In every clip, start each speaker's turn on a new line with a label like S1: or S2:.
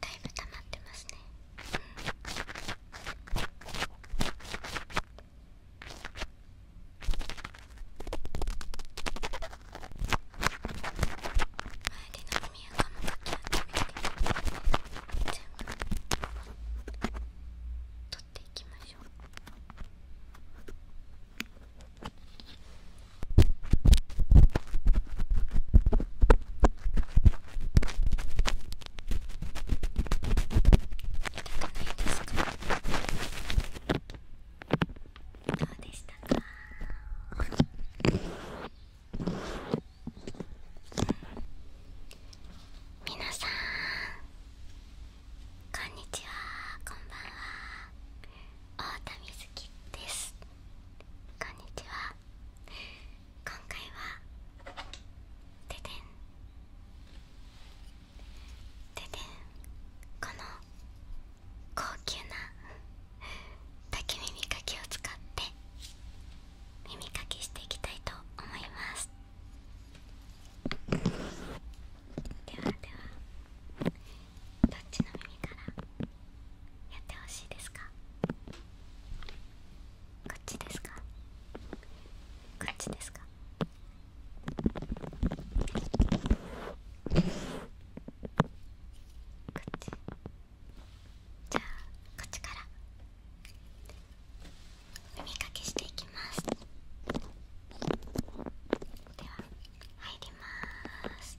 S1: だいぶ溜まってますね、うん、周りの耳垢もかき集めて全部取っていきましょうこですかど
S2: うでしたか皆さんこんにちはこんばんは太田瑞希ですこんにちは今回はででんででんこの高級な竹耳かきを
S3: 使って耳かきしていきたいと思いますではでは
S4: どっちの耳からやってほしいですかこっちですかこっちですかこっちじゃあこっちから耳かけしていきますでは入ります。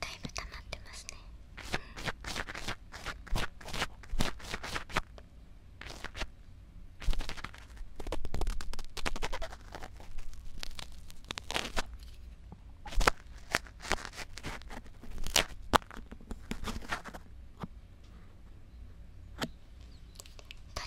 S3: だいぶ溜まってますね、う取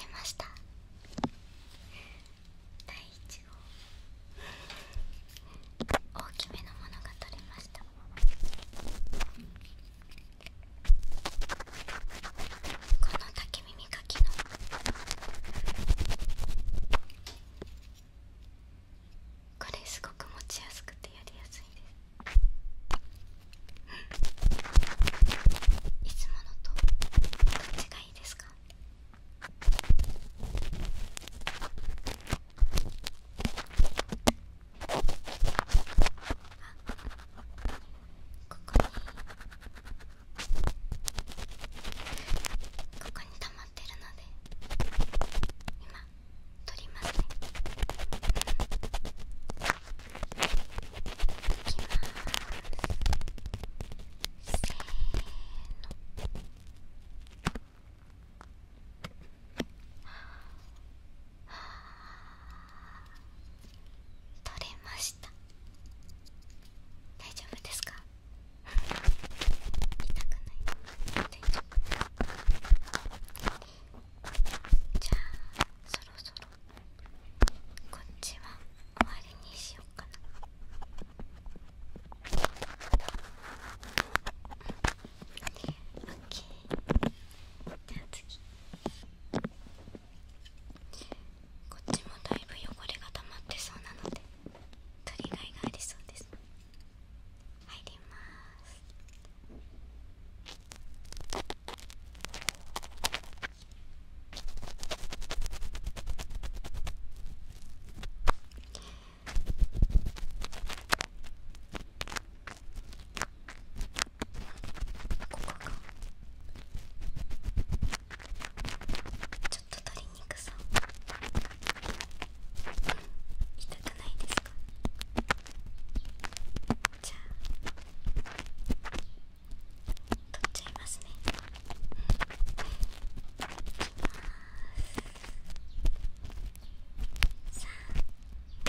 S1: れました第1号大きめのものが取れましたこの竹耳かきのこれすごく持ちやすくてやりやすいですいつものとどっちがいいですかここに溜まってるので今取りますねいきます取れました大丈夫ですか痛くないじゃあそろそろこっちは終わりにしようかなオッケじゃあ次こっちもだいぶ汚れが溜まってそうなので取りがいがありそうです入りますちょっ
S5: と鶏肉さん痛くないですかじゃあ取っちゃいますねます。さあ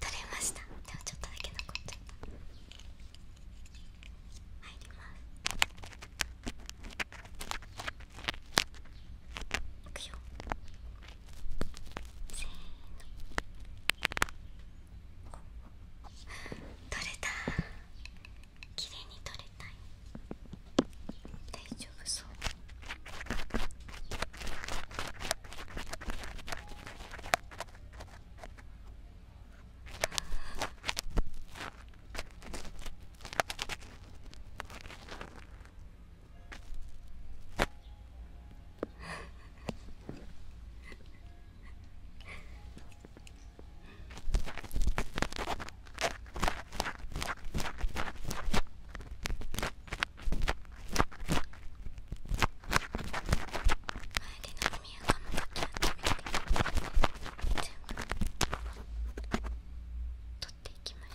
S5: 取れましたでもちょっとだけ残っちゃった入りますいくよせーの取れた綺麗に取れたい大丈夫そうあ取っていきま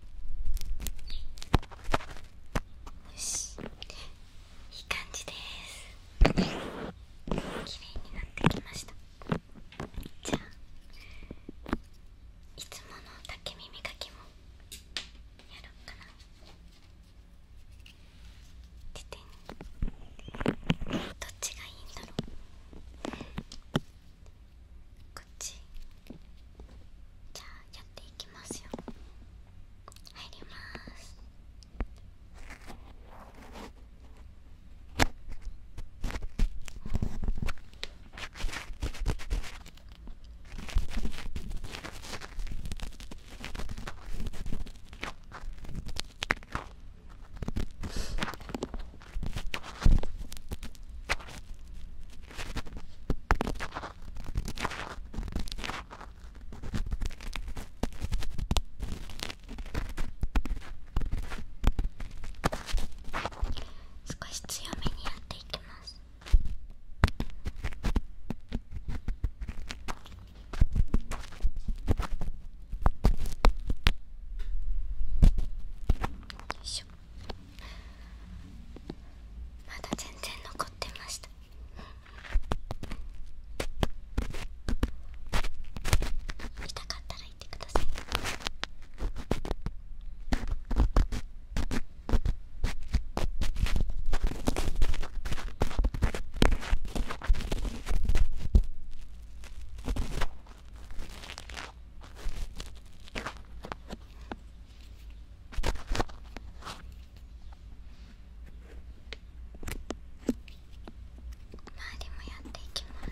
S5: よしいい感じです綺麗になってきましたじゃあいつもの竹耳かきもやろうかなててどっちがいいんだろうこっちじゃあやっていきますよ入ります少し強めにやっていきます。よいしまだ全然残ってました見たかったら言ってください周りもやっていきます。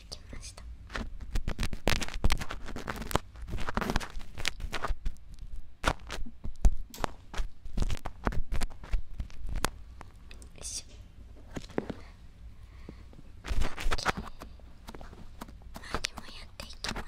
S5: してきましたもやっていきます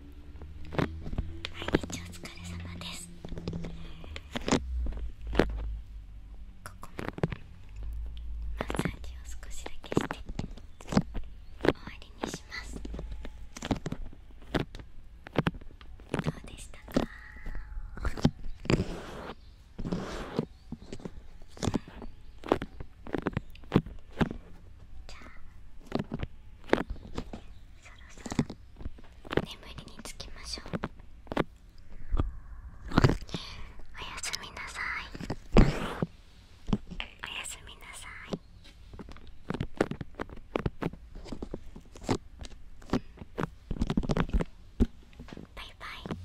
S5: 日お疲れ様ですここもマッサージを少しだけして終わりにしますどうでしたかじゃあそろそろ眠りにつきましょうおやすみなさいおやすみなさいバイバイ